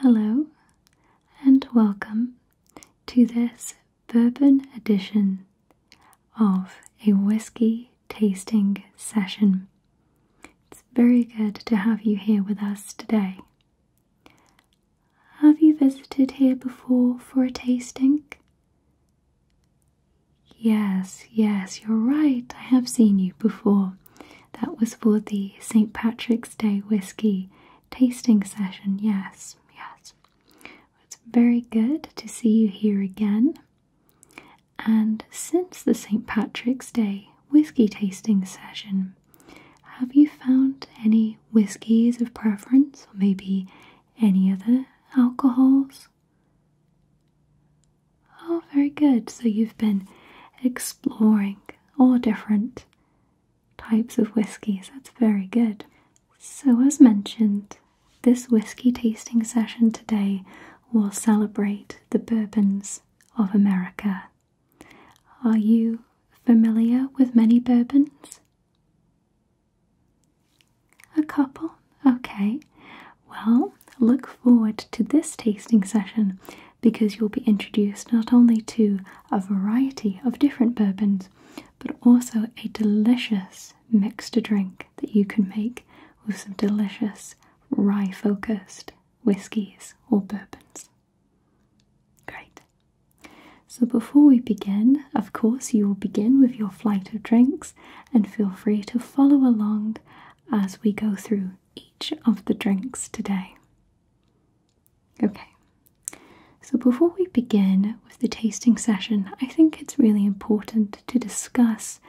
Hello and welcome to this bourbon edition of a whiskey tasting session. It's very good to have you here with us today. Have you visited here before for a tasting? Yes, yes, you're right, I have seen you before. That was for the St. Patrick's Day whiskey tasting session. Yes, yes. It's very good to see you here again. And since the St. Patrick's Day whiskey tasting session, have you found any whiskies of preference or maybe any other alcohols? Oh, very good. So you've been exploring all different types of whiskies. That's very good. So, as mentioned, this whiskey tasting session today will celebrate the bourbons of America. Are you familiar with many bourbons? A couple? Okay. Well, look forward to this tasting session because you'll be introduced not only to a variety of different bourbons, but also a delicious mixed drink that you can make with some delicious rye focused whiskies or bourbons. Great. So, before we begin, of course, you will begin with your flight of drinks and feel free to follow along as we go through each of the drinks today. Okay, so before we begin with the tasting session, I think it's really important to discuss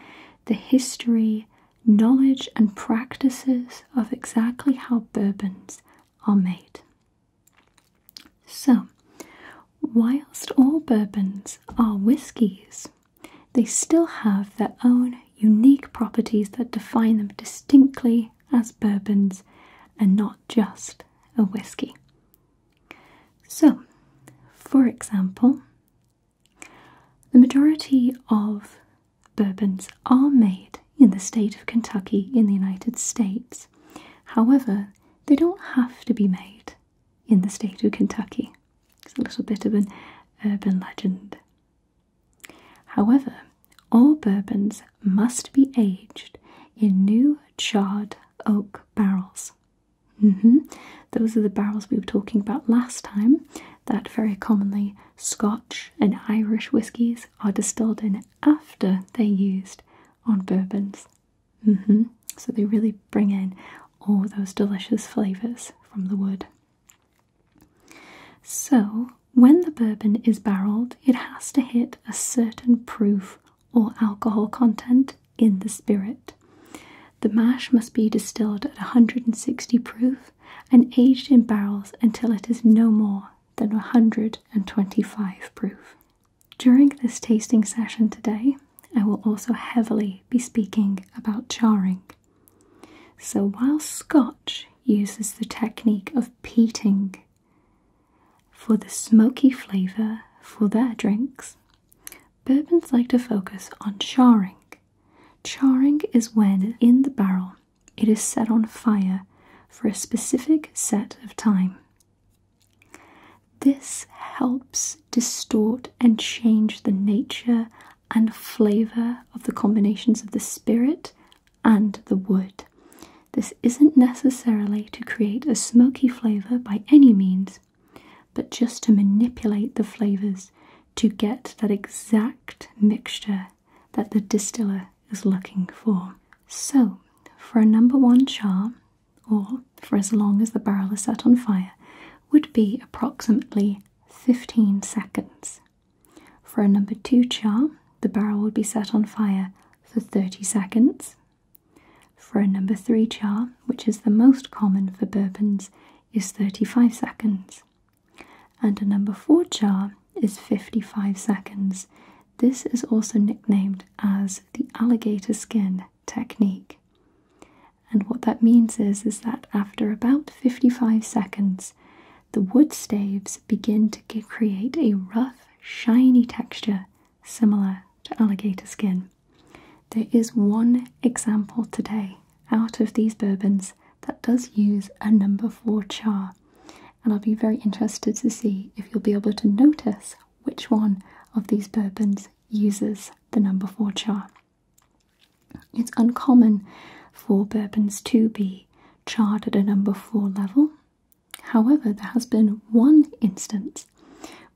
the history, knowledge, and practices of exactly how bourbons are made. So, whilst all bourbons are whiskies, they still have their own unique properties that define them distinctly as bourbons and not just a whiskey. So, for example, the majority of bourbons are made in the state of Kentucky in the United States. However, they don't have to be made in the state of Kentucky. It's a little bit of an urban legend. However, all bourbons must be aged in new charred oak barrels. Mm-hmm. Those are the barrels we were talking about last time, that very commonly Scotch and Irish whiskies are distilled in after they're used on bourbons. Mm-hmm. So they really bring in all those delicious flavours from the wood. So, when the bourbon is barreled, it has to hit a certain proof or alcohol content in the spirit. The mash must be distilled at 160 proof and aged in barrels until it is no more than 125 proof. During this tasting session today, I will also heavily be speaking about charring. So while Scotch uses the technique of peating for the smoky flavour for their drinks, bourbons like to focus on charring. Charring is when in the barrel it is set on fire for a specific set of time. This helps distort and change the nature and flavour of the combinations of the spirit and the wood. This isn't necessarily to create a smoky flavour by any means, but just to manipulate the flavours to get that exact mixture that the distiller is looking for. So, for a number one char, or for as long as the barrel is set on fire, would be approximately 15 seconds. For a number two charm, the barrel would be set on fire for 30 seconds. For a number three charm, which is the most common for bourbons, is 35 seconds. And a number four charm is 55 seconds. This is also nicknamed as the alligator skin technique. And what that means is, is that after about 55 seconds, the wood staves begin to create a rough, shiny texture similar to alligator skin. There is one example today out of these bourbons that does use a number four char, and I'll be very interested to see if you'll be able to notice which one of these bourbons uses the number four char. It's uncommon for bourbons to be charred at a number 4 level. However, there has been one instance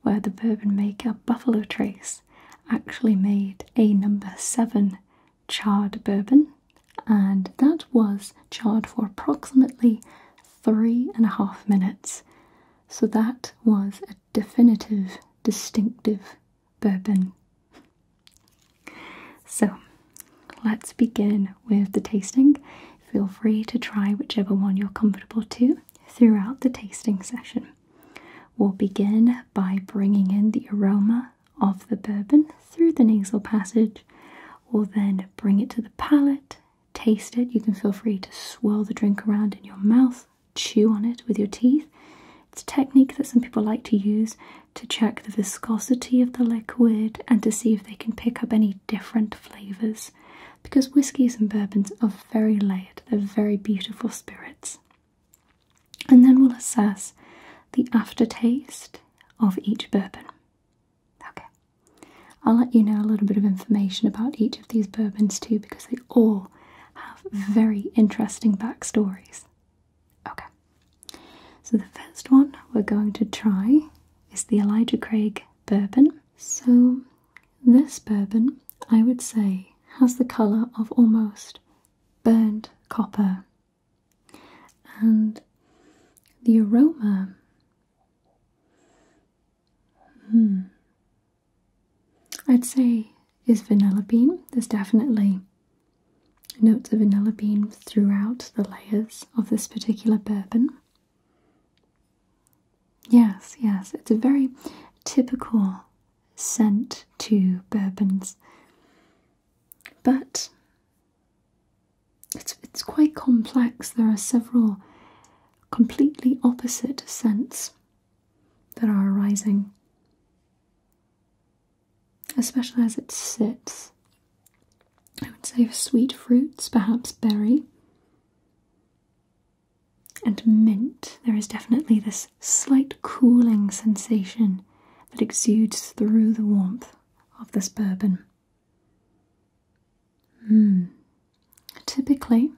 where the bourbon maker Buffalo Trace actually made a number 7 charred bourbon, and that was charred for approximately three and a half minutes. So that was a definitive, distinctive bourbon so let's begin with the tasting. Feel free to try whichever one you're comfortable to throughout the tasting session. We'll begin by bringing in the aroma of the bourbon through the nasal passage. We'll then bring it to the palate, taste it. You can feel free to swirl the drink around in your mouth, chew on it with your teeth. It's a technique that some people like to use to check the viscosity of the liquid and to see if they can pick up any different flavours because whiskies and bourbons are very layered, they're very beautiful spirits. And then we'll assess the aftertaste of each bourbon. Okay, I'll let you know a little bit of information about each of these bourbons too because they all have very interesting backstories. Okay. So the first one we're going to try is the Elijah Craig bourbon. So this bourbon, I would say, has the colour of almost burnt copper. And the aroma. Hmm, I'd say is vanilla bean. There's definitely Notes of vanilla bean throughout the layers of this particular bourbon. Yes, yes, it's a very typical scent to bourbons, but it's quite complex. There are several completely opposite scents that are arising especially as it sits. I would say sweet fruits, perhaps berry, and mint. There is definitely this slight cooling sensation that exudes through the warmth of this bourbon. Hmm. Typically,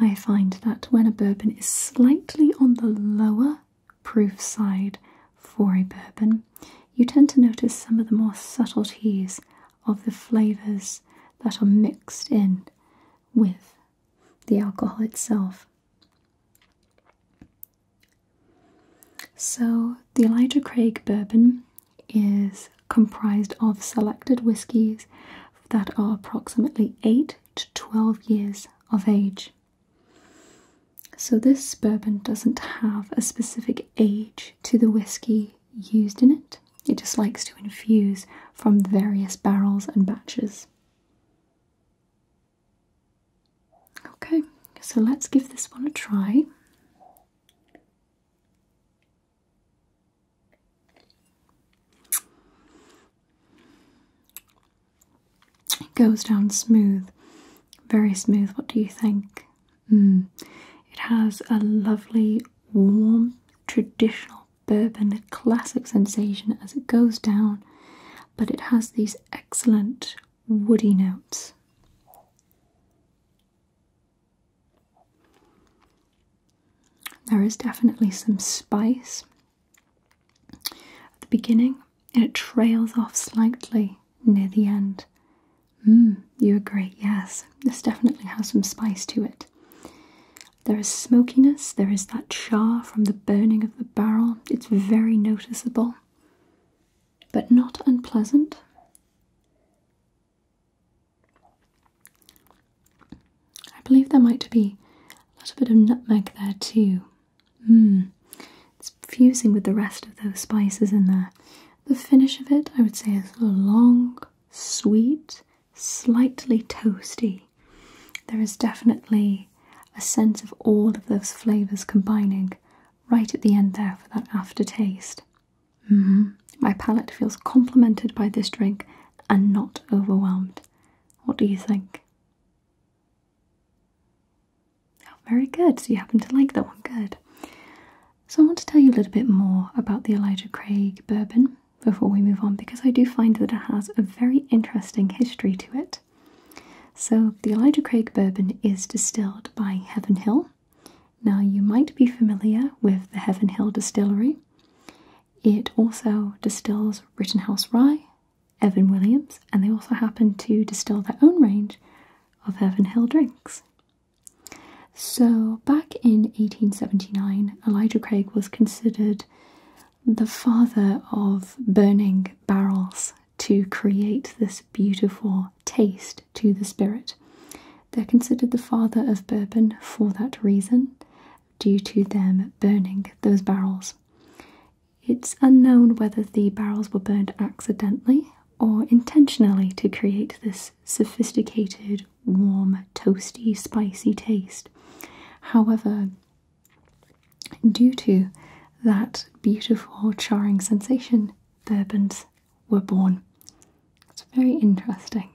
I find that when a bourbon is slightly on the lower proof side for a bourbon, you tend to notice some of the more subtleties of the flavours that are mixed in with the alcohol itself. So, the Elijah Craig bourbon is comprised of selected whiskies that are approximately 8 to 12 years of age. So, this bourbon doesn't have a specific age to the whiskey used in it, it just likes to infuse from various barrels and batches. Okay, so let's give this one a try. It goes down smooth, very smooth. What do you think? Hmm. It has a lovely, warm, traditional bourbon classic sensation as it goes down, but it has these excellent woody notes. There is definitely some spice at the beginning and it trails off slightly near the end. Mm, you agree, yes. This definitely has some spice to it. There is smokiness, there is that char from the burning of the barrel. It's very noticeable, but not unpleasant. I believe there might be a little bit of nutmeg there too. Hmm. it's fusing with the rest of those spices in there. The finish of it, I would say, is long, sweet, slightly toasty. There is definitely a sense of all of those flavours combining right at the end there for that aftertaste. Mm-hmm. My palate feels complemented by this drink and not overwhelmed. What do you think? Oh, very good. So you happen to like that one. Good. So I want to tell you a little bit more about the Elijah Craig bourbon before we move on because I do find that it has a very interesting history to it. So the Elijah Craig bourbon is distilled by Heaven Hill. Now you might be familiar with the Heaven Hill distillery. It also distills Rittenhouse Rye Evan Williams, and they also happen to distill their own range of Evan Hill drinks. So, back in 1879, Elijah Craig was considered the father of burning barrels to create this beautiful taste to the spirit. They're considered the father of bourbon for that reason, due to them burning those barrels. It's unknown whether the barrels were burned accidentally or intentionally to create this sophisticated, warm, toasty, spicy taste. However, due to that beautiful, charring sensation, bourbons were born. It's very interesting.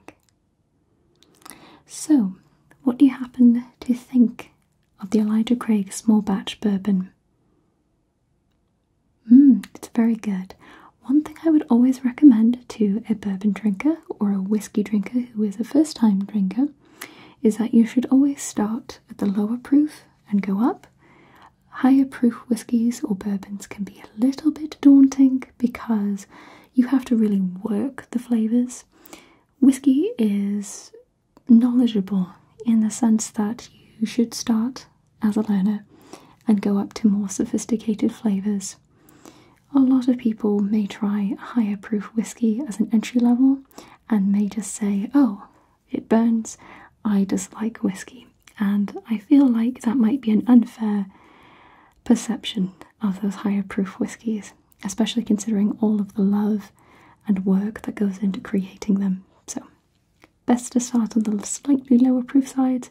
So, what do you happen to think of the Elijah Craig small batch bourbon? Hmm, it's very good. One thing I would always recommend to a bourbon drinker or a whiskey drinker who is a first time drinker is that you should always start at the lower proof and go up. Higher proof whiskies or bourbons can be a little bit daunting because you have to really work the flavours. Whiskey is knowledgeable in the sense that you should start as a learner and go up to more sophisticated flavours. A lot of people may try higher proof whiskey as an entry level and may just say, oh, it burns, I dislike whiskey. And I feel like that might be an unfair perception of those higher proof whiskeys, especially considering all of the love and work that goes into creating them. So Best to start on the slightly lower proof side.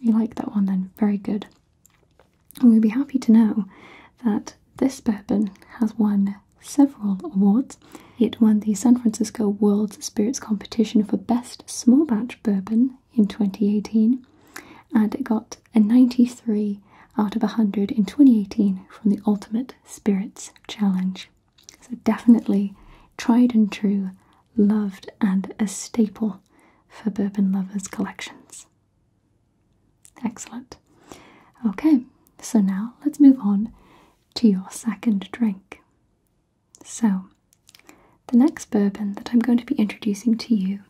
You like that one then, very good. And we'll be happy to know that this bourbon has won several awards. It won the San Francisco World Spirits Competition for Best Small Batch Bourbon in 2018, and it got a 93 out of 100 in 2018 from the Ultimate Spirits Challenge. So, definitely tried and true, loved, and a staple for bourbon lovers' collections. Excellent. Okay, so now let's move on to your second drink. So, the next bourbon that I'm going to be introducing to you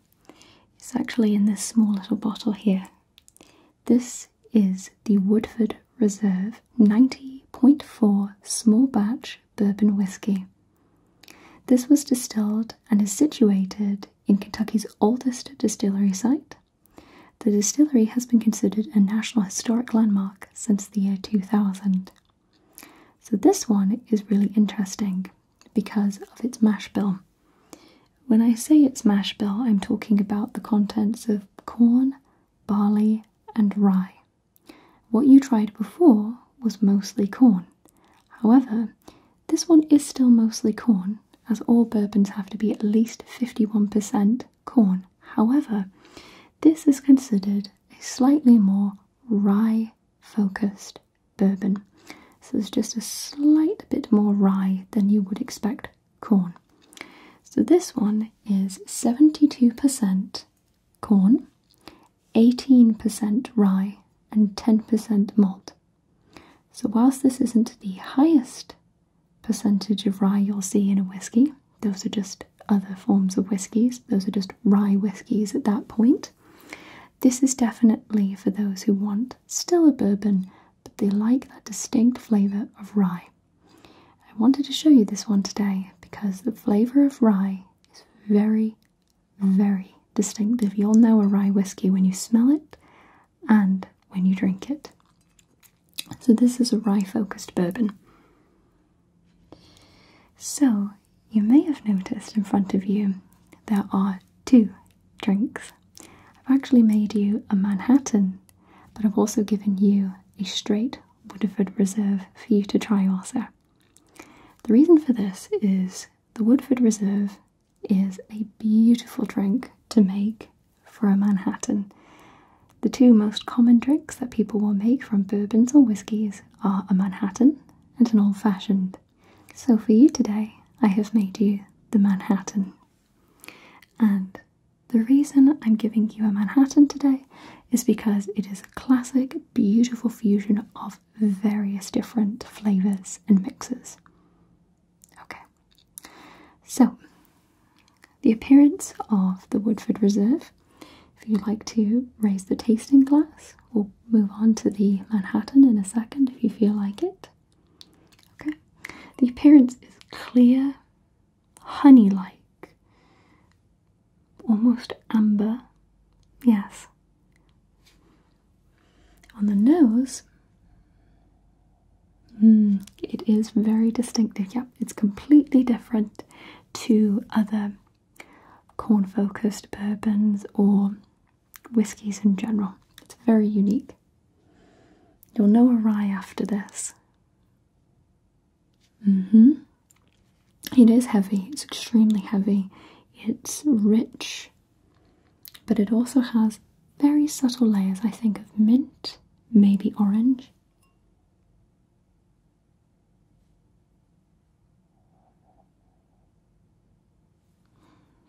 is actually in this small little bottle here. This is the Woodford Reserve 90.4 small batch bourbon whiskey. This was distilled and is situated in Kentucky's oldest distillery site. The distillery has been considered a National Historic Landmark since the year 2000. So, this one is really interesting because of its mash bill. When I say its mash bill, I'm talking about the contents of corn, barley, and rye. What you tried before was mostly corn. However, this one is still mostly corn, as all bourbons have to be at least 51% corn. However, this is considered a slightly more rye focused bourbon. So it's just a slight bit more rye than you would expect corn. So this one is 72% corn, 18% rye, and 10% malt. So, whilst this isn't the highest percentage of rye you'll see in a whiskey, those are just other forms of whiskies, those are just rye whiskies at that point. This is definitely for those who want still a bourbon, but they like that distinct flavour of rye. I wanted to show you this one today because the flavour of rye is very, very distinctive. You'll know a rye whiskey when you smell it and when you drink it. So, this is a rye focused bourbon. So, you may have noticed in front of you there are two drinks. I've actually made you a Manhattan but I've also given you a straight Woodford Reserve for you to try also. The reason for this is the Woodford Reserve is a beautiful drink to make for a Manhattan. The two most common drinks that people will make from bourbons or whiskies are a Manhattan and an old fashioned. So for you today, I have made you the Manhattan. And the reason I'm giving you a Manhattan today is because it is a classic, beautiful fusion of various different flavours and mixes. Okay, so the appearance of the Woodford Reserve. If you'd like to raise the tasting glass, we'll move on to the Manhattan in a second if you feel like it. Okay, the appearance is clear, honey like, almost amber. Yes. On the nose, hmm, it is very distinctive. Yeah, it's completely different to other corn focused bourbons or whiskies in general. It's very unique. You'll know a rye after this. Mm-hmm. It is heavy. It's extremely heavy. It's rich. But it also has very subtle layers, I think, of mint, maybe orange.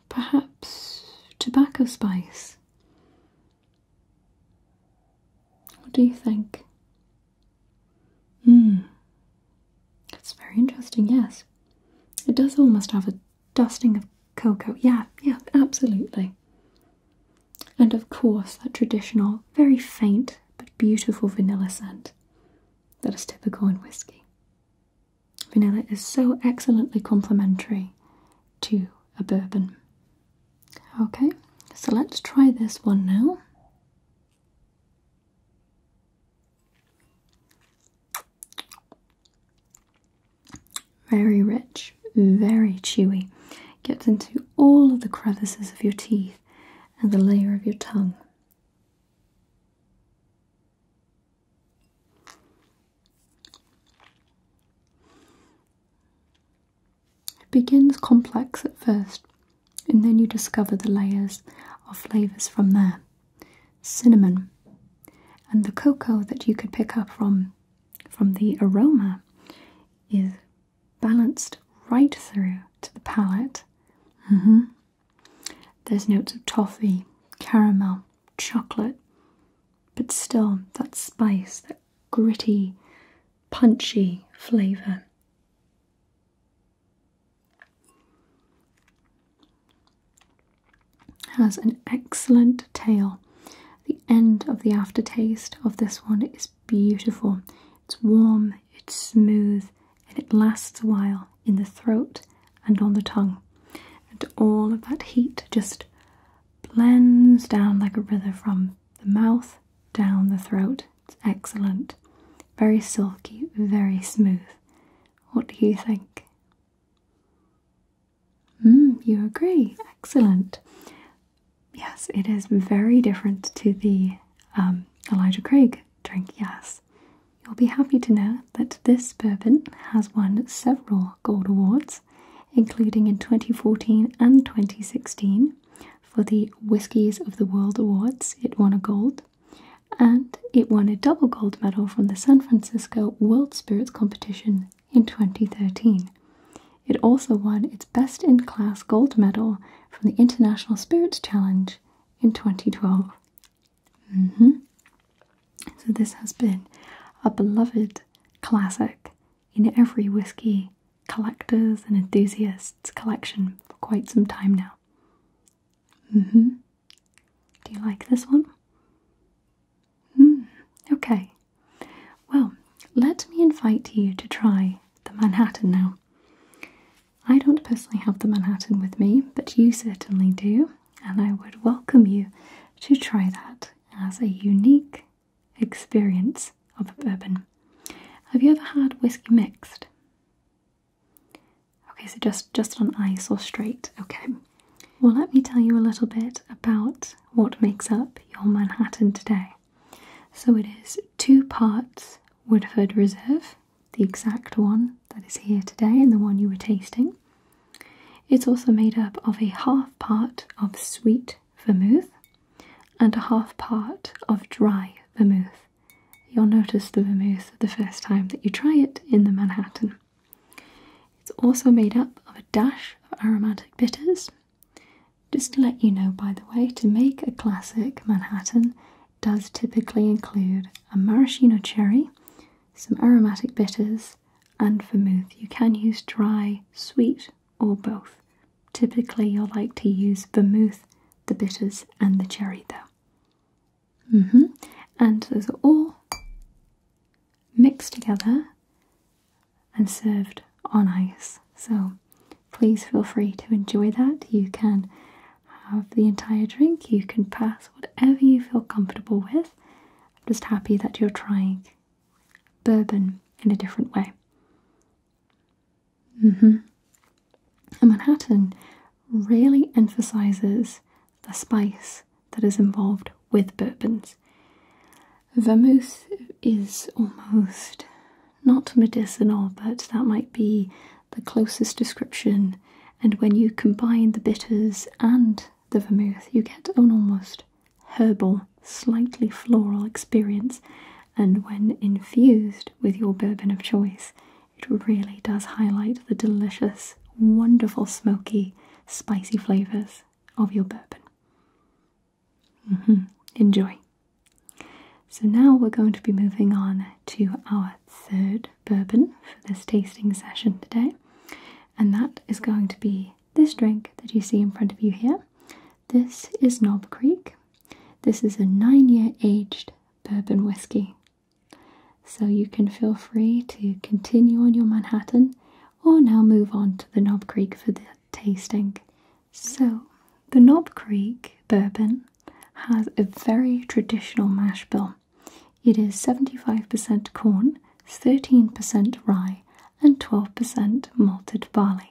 Perhaps tobacco spice. What do you think? Hmm. It's very interesting, yes. It does almost have a dusting of cocoa. Yeah, yeah, absolutely. And of course, that traditional, very faint but beautiful vanilla scent that is typical in whiskey. Vanilla is so excellently complementary to a bourbon Okay, so let's try this one now. Very rich, very chewy. Gets into all of the crevices of your teeth and the layer of your tongue. It begins complex at first, and then you discover the layers of flavors from there. Cinnamon and the cocoa that you could pick up from from the aroma is balanced right through to the palate. Mm-hmm. There's notes of toffee, caramel, chocolate, but still that spice, that gritty, punchy flavour. Has an excellent tail. The end of the aftertaste of this one is beautiful. It's warm, it's smooth, and it lasts a while in the throat and on the tongue. And all of that heat just blends down like a river from the mouth down the throat. It's excellent. Very silky, very smooth. What do you think? Hmm, you agree. Excellent. Yes, it is very different to the um, Elijah Craig drink, yes. You'll be happy to know that this bourbon has won several gold awards including in 2014 and 2016 for the Whiskies of the World Awards. It won a gold and it won a double gold medal from the San Francisco World Spirits Competition in 2013. It also won its Best in Class gold medal from the International Spirits Challenge in 2012. Mm-hmm. So, this has been a beloved classic in every whisky collectors and enthusiasts collection for quite some time now. Mm-hmm. Do you like this one? Hmm. Okay. Well, let me invite you to try the Manhattan now. I don't personally have the Manhattan with me, but you certainly do, and I would welcome you to try that as a unique experience of a bourbon. Have you ever had whiskey mixed? Okay, so just, just on ice or straight, okay. Well, let me tell you a little bit about what makes up your Manhattan today. So it is two parts Woodford Reserve, the exact one that is here today and the one you were tasting. It's also made up of a half part of sweet vermouth and a half part of dry vermouth. You'll notice the vermouth the first time that you try it in the Manhattan. It's also made up of a dash of aromatic bitters. Just to let you know, by the way, to make a classic Manhattan does typically include a maraschino cherry, some aromatic bitters, and vermouth. You can use dry, sweet, or both. Typically, you'll like to use vermouth, the bitters, and the cherry, though. Mm-hmm. And those are all mixed together and served on ice. So please feel free to enjoy that. You can have the entire drink, you can pass whatever you feel comfortable with. I'm just happy that you're trying bourbon in a different way. Mm And Manhattan really emphasizes the spice that is involved with bourbons. Vermouth is almost not medicinal, but that might be the closest description. And when you combine the bitters and the vermouth, you get almost herbal, slightly floral experience, and when infused with your bourbon of choice, it really does highlight the delicious, wonderful, smoky, spicy flavours of your bourbon. Mm-hmm. Enjoy. So, now we're going to be moving on to our third bourbon for this tasting session today, and that is going to be this drink that you see in front of you here. This is Nob Creek. This is a nine year aged bourbon whiskey. So you can feel free to continue on your Manhattan or now move on to the Nob Creek for the tasting. So, the Nob Creek bourbon has a very traditional mash bill. It is 75% corn, 13% rye, and 12% malted barley.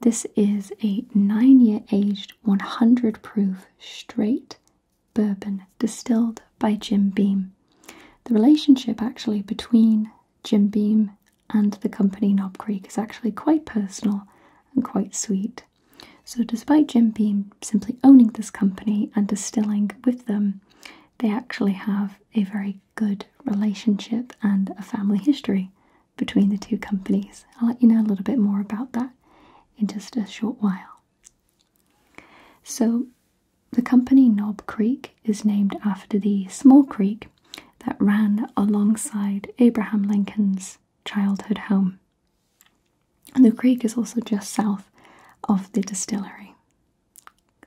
This is a 9 year aged 100 proof straight bourbon distilled by Jim Beam. The relationship actually between Jim Beam and the company Knob Creek is actually quite personal and quite sweet. So, despite Jim Beam simply owning this company and distilling with them, they actually have a very good relationship and a family history between the two companies. I'll let you know a little bit more about that in just a short while. So, the company Nob Creek is named after the small creek that ran alongside Abraham Lincoln's childhood home. the creek is also just south of the distillery.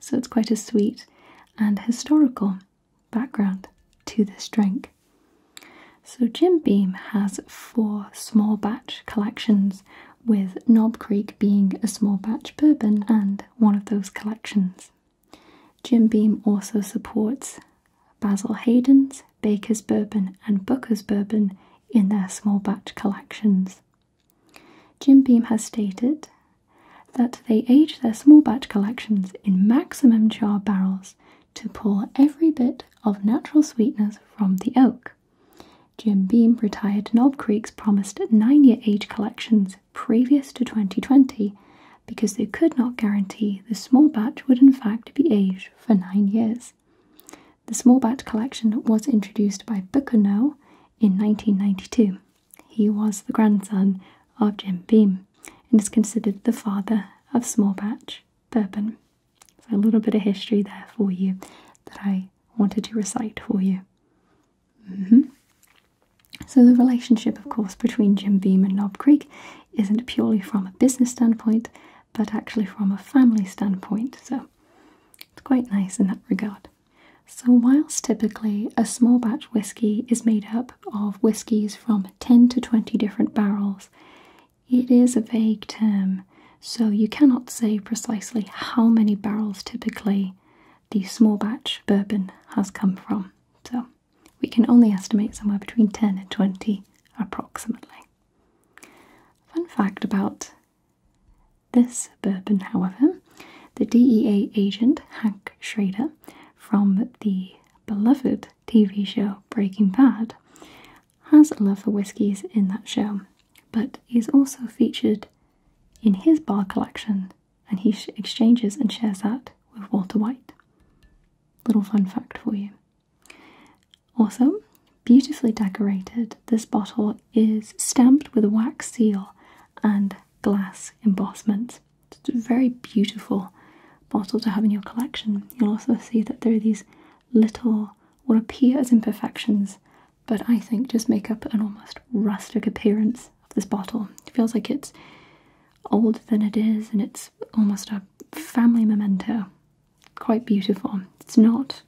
So it's quite a sweet and historical background to this drink. So Jim Beam has four small batch collections, with Knob Creek being a small batch bourbon and one of those collections. Jim Beam also supports Basil Hayden's, Baker's Bourbon, and Booker's Bourbon in their small batch collections. Jim Beam has stated that they age their small batch collections in maximum jar barrels to pull every bit of natural sweetness from the oak. Jim Beam retired Knob Creek's promised nine year age collections previous to 2020 because they could not guarantee the small batch would in fact be aged for nine years. The small batch collection was introduced by Booker Bucano in 1992. He was the grandson of Jim Beam and is considered the father of small batch bourbon. So, a little bit of history there for you that I wanted to recite for you. Mm-hmm. So, the relationship, of course, between Jim Beam and Knob Creek isn't purely from a business standpoint, but actually from a family standpoint. So, it's quite nice in that regard. So, whilst typically a small batch whiskey is made up of whiskies from 10 to 20 different barrels, it is a vague term, so you cannot say precisely how many barrels typically the small batch bourbon has come from. So, we can only estimate somewhere between 10 and 20 approximately. Fun fact about this bourbon, however, the DEA agent Hank Schrader from the beloved TV show Breaking Bad has a love for whiskies in that show, but is also featured in his bar collection and he exchanges and shares that with Walter White. Little fun fact for you. Also, beautifully decorated, this bottle is stamped with a wax seal and glass embossment. It's a very beautiful bottle to have in your collection. You'll also see that there are these little, what appear as imperfections, but I think just make up an almost rustic appearance of this bottle. It feels like it's older than it is and it's almost a family memento. Quite beautiful. It's not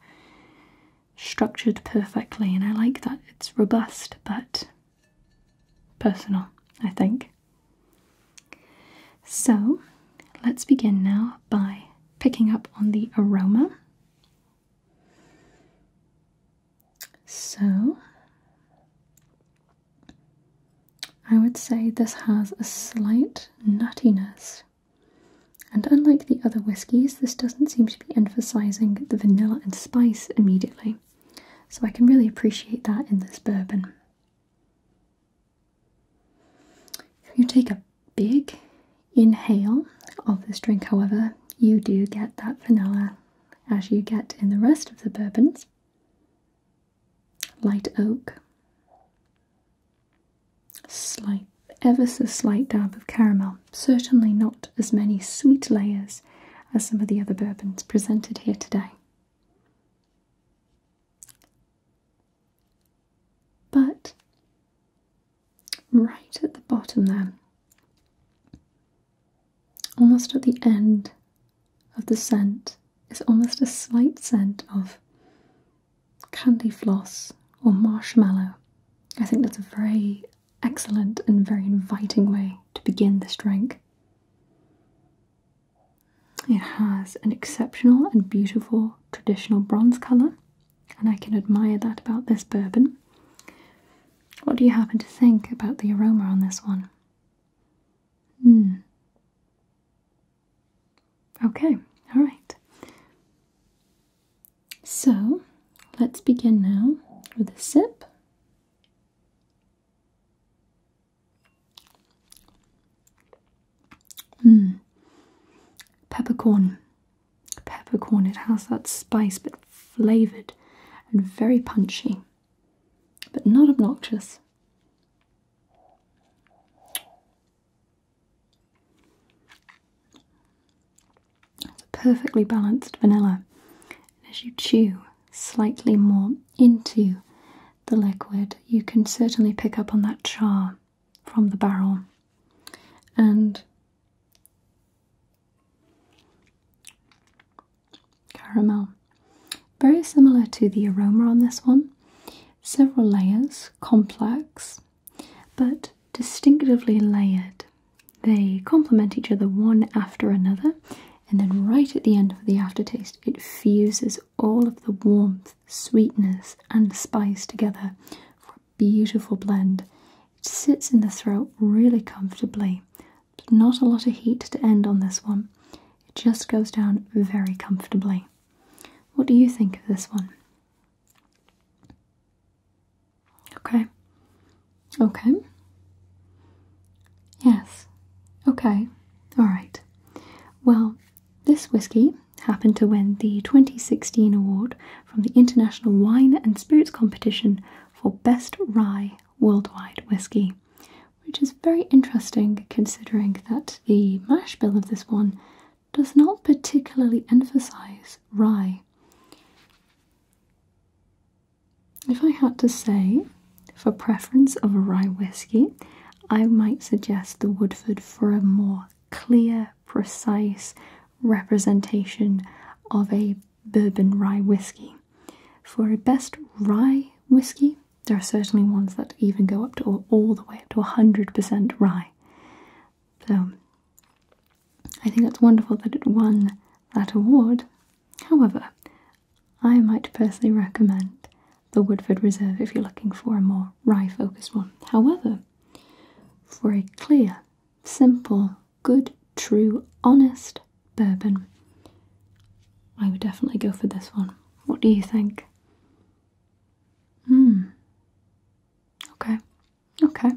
structured perfectly and I like that. It's robust but personal, I think. So let's begin now by picking up on the aroma. So I would say this has a slight nuttiness. And unlike the other whiskies, this doesn't seem to be emphasizing the vanilla and spice immediately. So I can really appreciate that in this bourbon. If you take a big inhale of this drink, however, you do get that vanilla as you get in the rest of the bourbons. Light oak, slight, ever so slight dab of caramel, certainly not as many sweet layers as, some of the other bourbons presented here today. But right at the bottom, there, almost at the end of the scent, is almost a slight scent of candy floss or marshmallow. I think that's a very excellent and very inviting way to begin this drink. It has an exceptional and beautiful traditional bronze colour, and I can admire that about this bourbon. What do you happen to think about the aroma on this one? Hmm. Okay, alright. So let's begin now with a sip Mm. Peppercorn. Peppercorn, it has that spice but flavoured and very punchy, but not obnoxious. It's a perfectly balanced vanilla. And as you chew slightly more into the liquid, you can certainly pick up on that char from the barrel. And caramel. Very similar to the aroma on this one. Several layers, complex, but distinctively layered. They complement each other one after another, and then right at the end of the aftertaste, it fuses all of the warmth, sweetness, and spice together for a beautiful blend. It sits in the throat really comfortably. There's not a lot of heat to end on this one. It just goes down very comfortably. What do you think of this one? Okay. Okay. Yes. Okay. All right. Well, this whiskey happened to win the 2016 award from the International Wine and Spirits Competition for Best Rye Worldwide Whiskey, which is very interesting considering that the mash bill of this one does not particularly emphasize rye. If I had to say, for preference of a rye whiskey, I might suggest the Woodford for a more clear, precise representation of a bourbon rye whiskey. For a best rye whiskey, there are certainly ones that even go up to all, the way up to 100% rye. So I think it's wonderful that it won that award However, I might personally recommend the Woodford Reserve if you're looking for a more rye focused one. However, for a clear, simple, good, true, honest bourbon, I would definitely go for this one. What do you think? Hmm. Okay. Okay.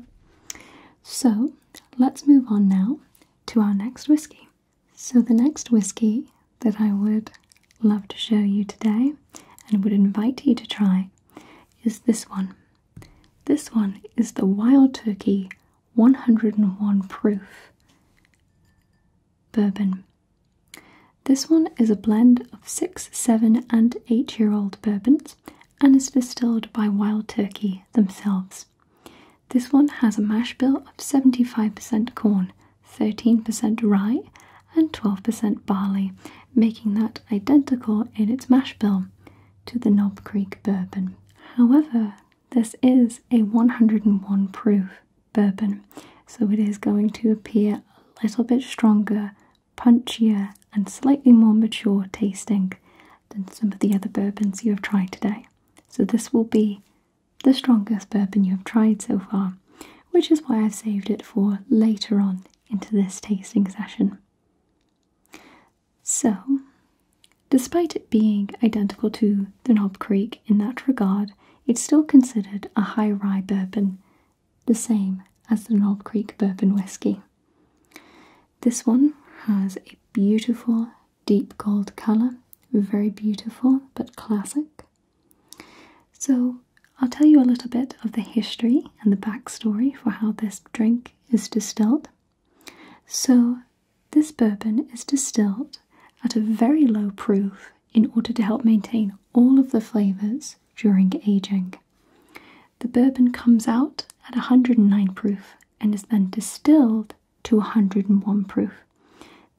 So let's move on now to our next whiskey. So, the next whiskey that I would love to show you today and would invite you to try is this one. This one is the Wild Turkey 101 Proof Bourbon. This one is a blend of 6, 7, and 8 year old bourbons and is distilled by Wild Turkey themselves. This one has a mash bill of 75% corn, 13% rye, and 12% barley, making that identical in its mash bill to the Knob Creek bourbon. However, this is a 101 proof bourbon, so it is going to appear a little bit stronger, punchier, and slightly more mature tasting than some of the other bourbons you have tried today. So this will be the strongest bourbon you have tried so far, which is why I've saved it for later on into this tasting session. So, despite it being identical to the Knob Creek in that regard, it's still considered a high rye bourbon, the same as the Knob Creek bourbon whiskey. This one has a beautiful deep gold color. Very beautiful but classic. So, I'll tell you a little bit of the history and the backstory for how this drink is distilled. So, this bourbon is distilled at a very low proof in order to help maintain all of the flavors during aging. The bourbon comes out at 109 proof and is then distilled to 101 proof.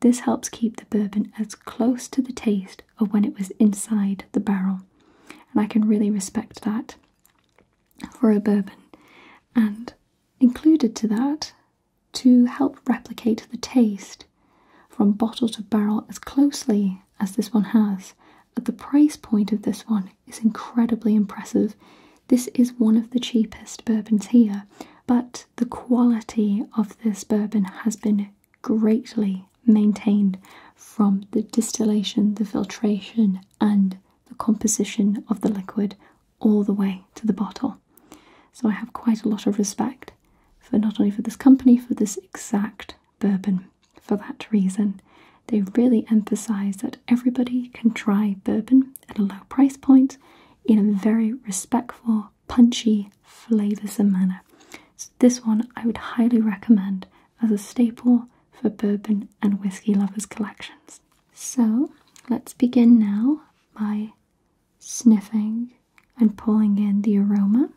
This helps keep the bourbon as close to the taste of when it was inside the barrel, and I can really respect that for a bourbon. And included to that, to help replicate the taste from bottle to barrel as closely as this one has, at the price point of this one, is incredibly impressive. This is one of the cheapest bourbons here, but the quality of this bourbon has been greatly maintained from the distillation, the filtration, and the composition of the liquid all the way to the bottle. So I have quite a lot of respect for not only for this company, for this exact bourbon for that reason. They really emphasize that everybody can try bourbon at a low price point in a very respectful, punchy, flavoursome manner. this one I would highly recommend as a staple for bourbon and whiskey lovers collections. So let's begin now by sniffing and pulling in the aroma.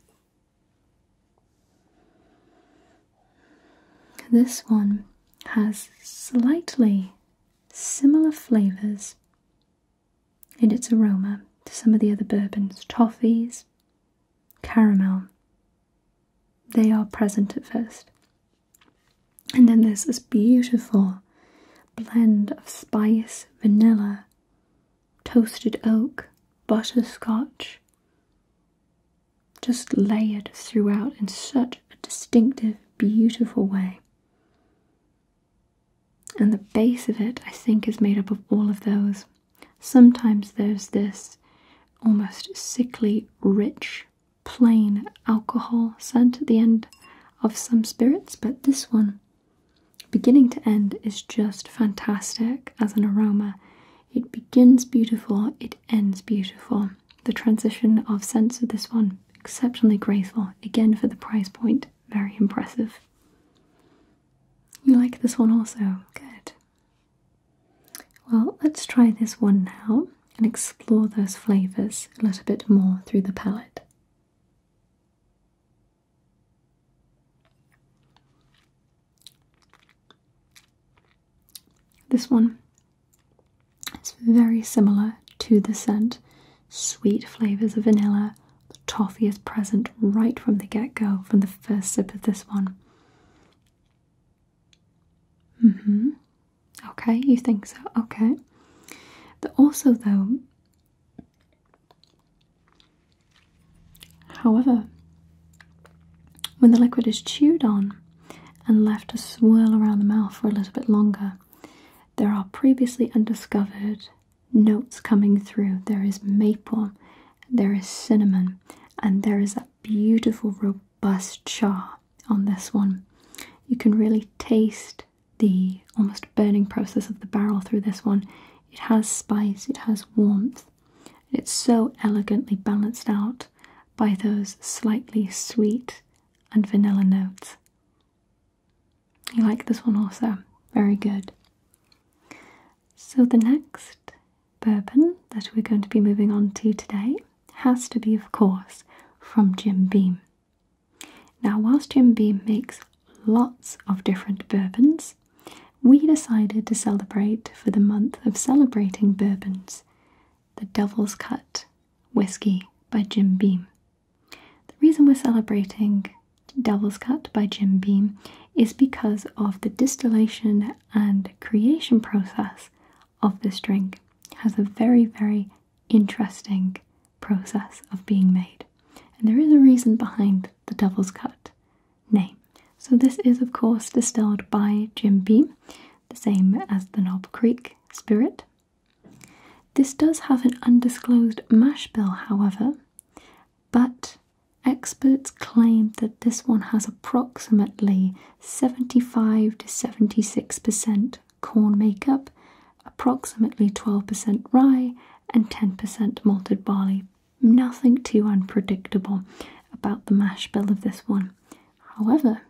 This one has slightly similar flavours in its aroma to some of the other bourbons, toffees, caramel. They are present at first. And then there's this beautiful blend of spice, vanilla, toasted oak, butterscotch, just layered throughout and such a distinctive, beautiful way. And the base of it, I think, is made up of all of those. Sometimes there's this almost sickly, rich, plain alcohol scent at the end of some spirits, but this one, beginning to end, is just fantastic as an aroma. It begins beautiful, it ends beautiful. The transition of scents of this one, exceptionally graceful. Again, for the price point, very impressive. You like this one also? Good. Well, let's try this one now and explore those flavours a little bit more through the palate. This one it's very similar to the scent. Sweet flavours of vanilla. The toffee is present right from the get go, from the first sip of this one. Mm hmm. Okay, you think so? Okay. But also, though, however, when the liquid is chewed on, and left to swirl around the mouth for a little bit longer. There are previously undiscovered notes coming through. There is maple, there is cinnamon, and there is that beautiful, robust char on this one. You can really taste the almost burning process of the barrel through this one. It has spice, it has warmth. It's so elegantly balanced out by those slightly sweet and vanilla notes. You like this one also? Very good. So, the next bourbon that we're going to be moving on to today has to be, of course, from Jim Beam. Now, whilst Jim Beam makes lots of different bourbons, we decided to celebrate for the month of celebrating bourbons the Devil's Cut Whiskey by Jim Beam. The reason we're celebrating Devil's Cut by Jim Beam is because of the distillation and creation process of this drink. has a very, very interesting process of being made. And there is a reason behind the Devil's Cut name. So this is of course distilled by Jim Beam, the same as the Nob Creek Spirit this does have an undisclosed mash bill, however, but experts claim that this one has approximately 75 to 76% corn makeup, approximately 12% rye, and 10% malted barley. Nothing too unpredictable about the mash bill of this one. However,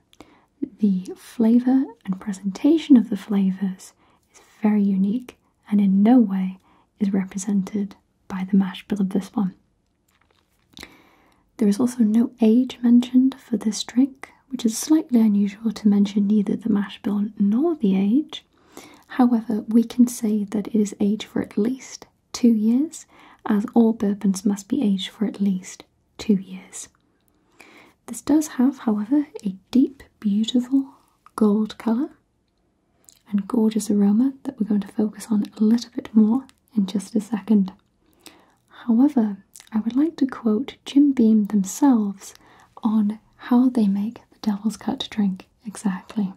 the flavour and presentation of the flavours is very unique and in no way is represented by the mash bill of this one. There is also no age mentioned for this drink, which is slightly unusual to mention neither the mash bill nor the age. However, we can say that it is aged for at least two years, as all bourbons must be aged for at least two years. This does have, however, a deep, beautiful gold colour and gorgeous aroma that we're going to focus on a little bit more in just a second. However, I would like to quote Jim Beam themselves on how they make the Devil's Cut drink exactly.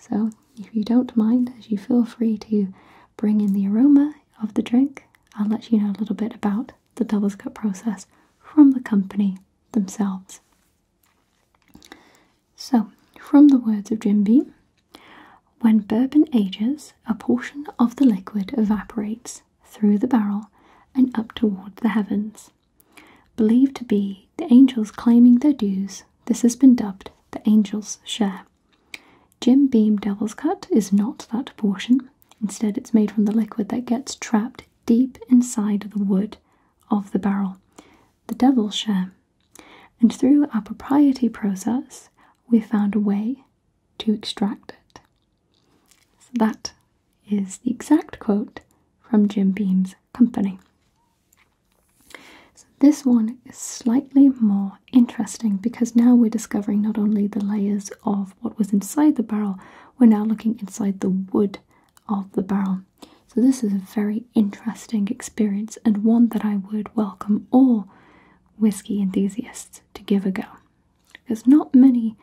So, if you don't mind, as you feel free to bring in the aroma of the drink, I'll let you know a little bit about the double cut process from the company themselves. So, from the words of Jim Beam, when bourbon ages, a portion of the liquid evaporates through the barrel and up toward the heavens. Believed to be the angels claiming their dues, this has been dubbed the angel's share. Jim Beam Devil's Cut is not that portion. Instead, it's made from the liquid that gets trapped deep inside the wood of the barrel, the devil's share. And through our propriety process, we found a way to extract it. So that is the exact quote from Jim Beam's company. So this one is slightly more interesting because now we're discovering not only the layers of what was inside the barrel, we're now looking inside the wood of the barrel. So, this is a very interesting experience and one that I would welcome all whiskey enthusiasts to give a go. Because not many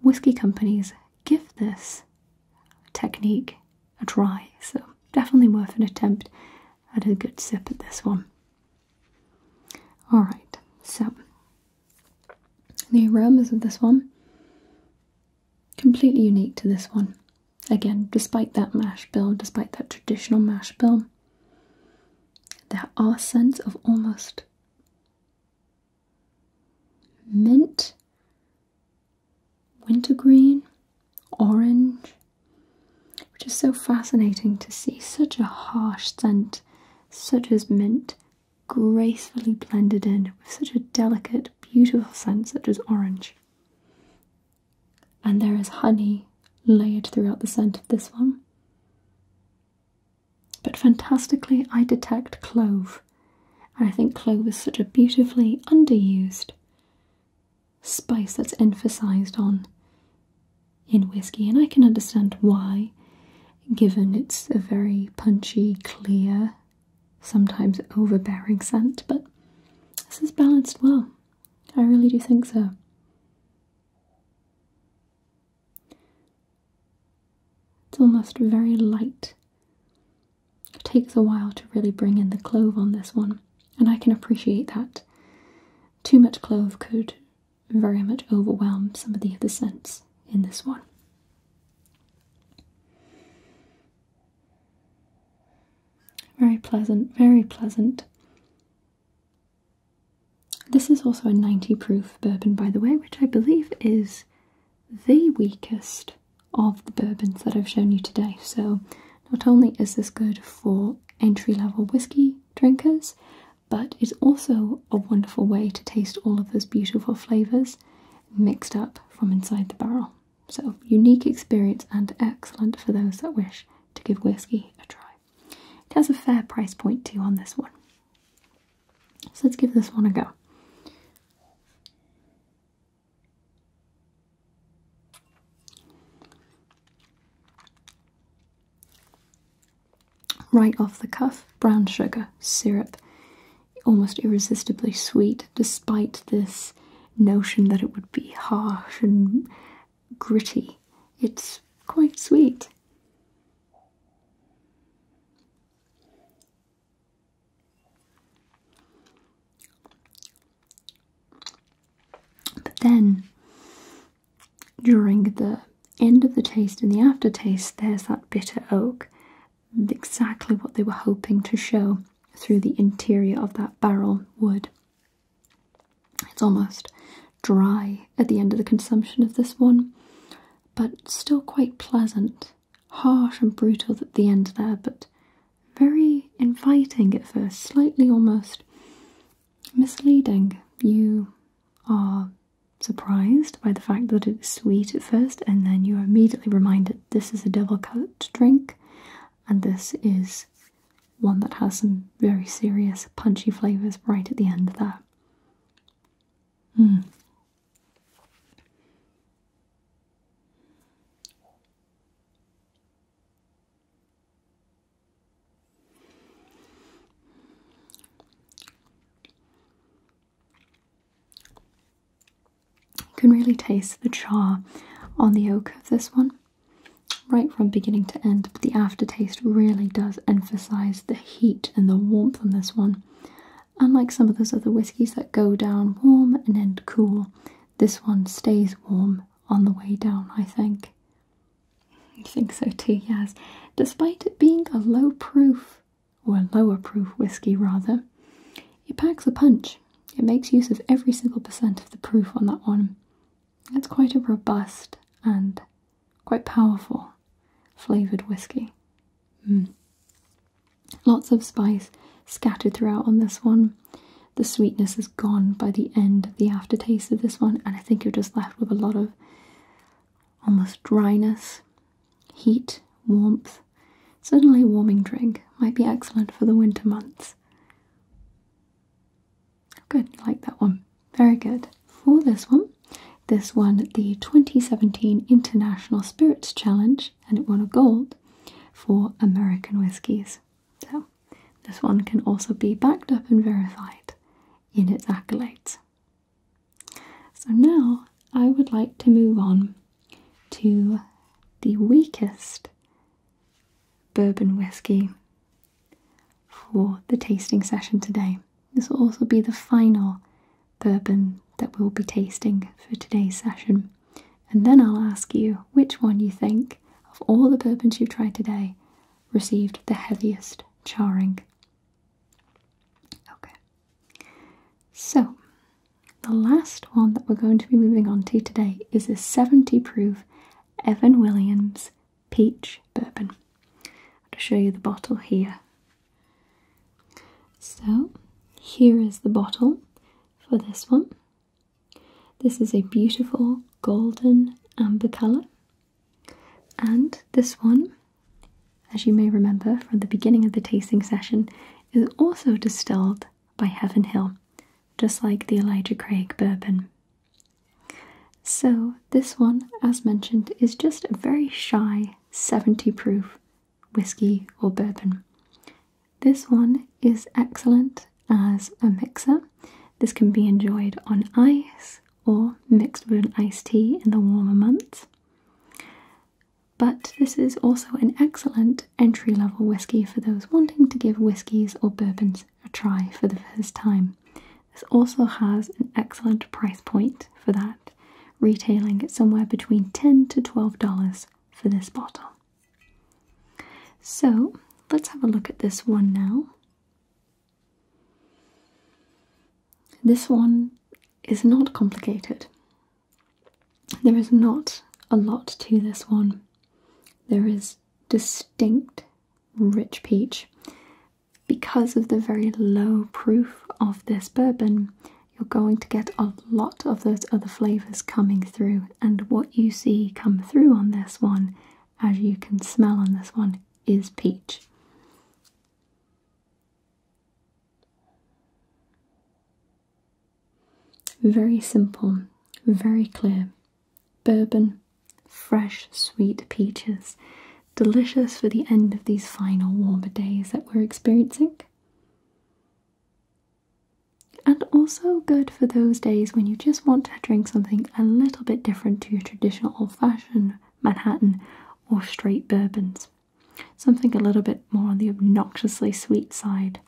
whiskey companies give this technique a try, so definitely worth an attempt and a good sip at this one. Alright, so the aromas of this one completely unique to this one. Again, despite that mash bill, despite that traditional mash bill, there are scents of almost mint, wintergreen, orange, which is so fascinating to see such a harsh scent such as mint, gracefully blended in with such a delicate, beautiful scent such as orange. And there is honey layered throughout the scent of this one. But fantastically, I detect clove, and I think clove is such a beautifully underused spice that's emphasized on in whiskey, and I can understand why, given it's a very punchy, clear, sometimes overbearing scent, but this is balanced well. I really do think so. It's almost very light. It takes a while to really bring in the clove on this one, and I can appreciate that. Too much clove could very much overwhelm some of the other scents in this one. Very pleasant, very pleasant. This is also a 90 proof bourbon, by the way, which I believe is the weakest of the bourbons that I've shown you today. So, not only is this good for entry level whiskey drinkers, but it's also a wonderful way to taste all of those beautiful flavours mixed up from inside the barrel. So, unique experience and excellent for those that wish to give whiskey a try. It has a fair price point too on this one. So, let's give this one a go. Right off the cuff, brown sugar syrup. Almost irresistibly sweet, despite this notion that it would be harsh and gritty. It's quite sweet. But then during the end of the taste and the aftertaste, there's that bitter oak. Exactly what they were hoping to show through the interior of that barrel wood. It's almost dry at the end of the consumption of this one, but still quite pleasant. Harsh and brutal at the end there, but very inviting at first, slightly almost misleading. You are surprised by the fact that it's sweet at first, and then you are immediately reminded this is a devil cut drink, and this is one that has some very serious punchy flavours right at the end there. Mm. You can really taste the char on the oak of this one right from beginning to end, but the aftertaste really does emphasize the heat and the warmth on this one. Unlike some of those other whiskies that go down warm and end cool, this one stays warm on the way down, I think. I think so too, yes. Despite it being a low proof, or lower proof whiskey rather, it packs a punch. It makes use of every single percent of the proof on that one. It's quite a robust and quite powerful flavoured whiskey. Hmm. Lots of spice scattered throughout on this one. The sweetness is gone by the end the aftertaste of this one, and I think you're just left with a lot of almost dryness, heat, warmth. Certainly, a warming drink might be excellent for the winter months. Good, like that one. Very good. For this one, this one, the 2017 International Spirits Challenge and it won a gold for American whiskies. So, this one can also be backed up and verified in its accolades. So now I would like to move on to the weakest bourbon whiskey for the tasting session today. This will also be the final bourbon that we'll be tasting for today's session. And then I'll ask you which one you think, of all the bourbons you've tried today, received the heaviest charring. Okay. So, the last one that we're going to be moving on to today is a 70 proof Evan Williams peach bourbon. I'll show you the bottle here. So, here is the bottle for this one. This is a beautiful golden amber colour and this one, as you may remember from the beginning of the tasting session, is also distilled by Heaven Hill, just like the Elijah Craig bourbon. So, this one, as mentioned, is just a very shy 70 proof whiskey or bourbon. This one is excellent as a mixer. This can be enjoyed on ice, or mixed with an iced tea in the warmer months. But this is also an excellent entry level whiskey for those wanting to give whiskies or bourbons a try for the first time. This also has an excellent price point for that, retailing at somewhere between $10 to $12 for this bottle. So let's have a look at this one now. This one is not complicated. There is not a lot to this one. There is distinct rich peach. Because of the very low proof of this bourbon, you're going to get a lot of those other flavours coming through, and what you see come through on this one, as you can smell on this one, is peach. Very simple, very clear. Bourbon, fresh, sweet peaches. Delicious for the end of these final warmer days that we're experiencing. And also good for those days when you just want to drink something a little bit different to your traditional old fashioned Manhattan, or straight bourbons. Something a little bit more on the obnoxiously sweet side.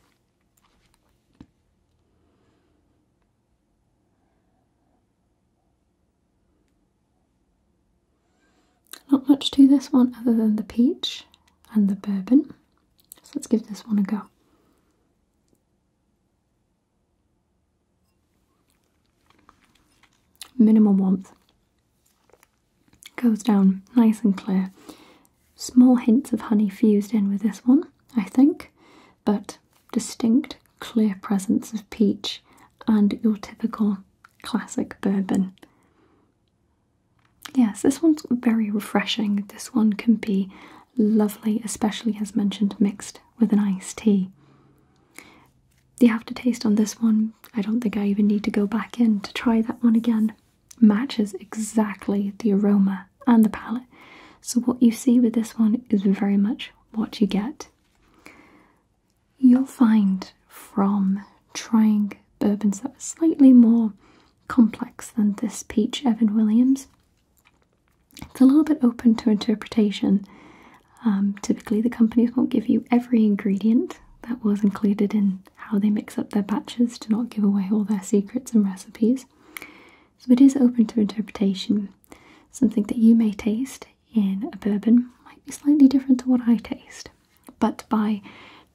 Not much to this one other than the peach and the bourbon. let's give this one a go. Minimal warmth goes down nice and clear. Small hints of honey fused in with this one, I think, but distinct, clear presence of peach and your typical classic bourbon. Yes, this one's very refreshing. This one can be lovely, especially as mentioned, mixed with an iced tea the aftertaste on this one, I don't think I even need to go back in to try that one again, matches exactly the aroma and the palate. So, what you see with this one is very much what you get. You'll find from trying bourbons that are slightly more complex than this peach Evan Williams it's a little bit open to interpretation. Um, typically, the companies won't give you every ingredient that was included in how they mix up their batches to not give away all their secrets and recipes. So, it is open to interpretation. Something that you may taste in a bourbon might be slightly different to what I taste, but by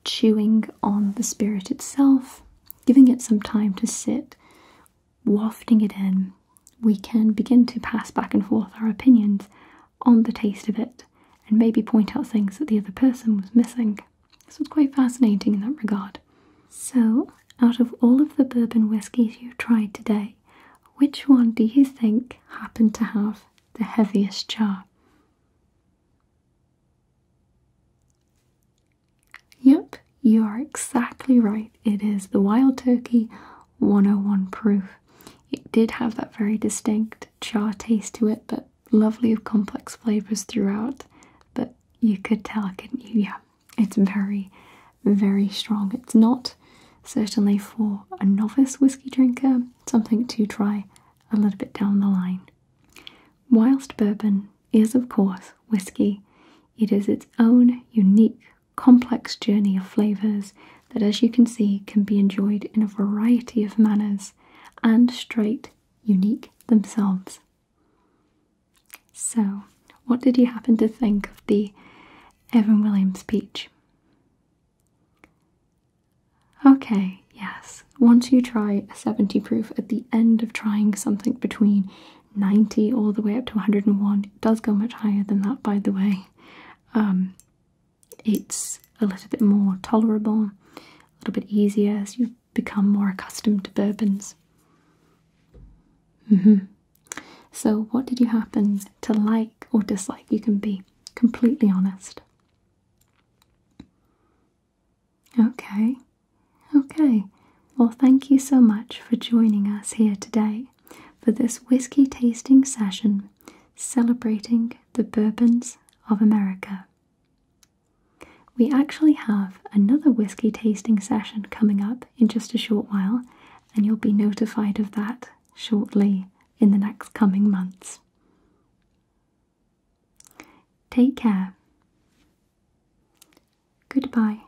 chewing on the spirit itself, giving it some time to sit wafting it in, we can begin to pass back and forth our opinions on the taste of it and maybe point out things that the other person was missing. This was quite fascinating in that regard. So, out of all of the bourbon whiskeys you tried today, which one do you think happened to have the heaviest jar? Yep, you are exactly right. It is the wild turkey 101 proof. It did have that very distinct char taste to it, but lovely complex flavors throughout. But you could tell, could Yeah, it's very, very strong. It's not certainly for a novice whisky drinker, something to try a little bit down the line. Whilst bourbon is, of course, whisky, it is its own unique complex journey of flavours that, as you can see, can be enjoyed in a variety of manners and straight, unique themselves. So, what did you happen to think of the Evan Williams peach? Okay, yes. Once you try a 70 proof at the end of trying something between 90 all the way up to 101, it does go much higher than that, by the way. Um, it's a little bit more tolerable, a little bit easier as you become more accustomed to bourbons. Mm-hmm. So, what did you happen to like or dislike? You can be completely honest. Okay, okay. Well, thank you so much for joining us here today for this whiskey tasting session celebrating the bourbons of America. We actually have another whiskey tasting session coming up in just a short while, and you'll be notified of that shortly in the next coming months. Take care. Goodbye.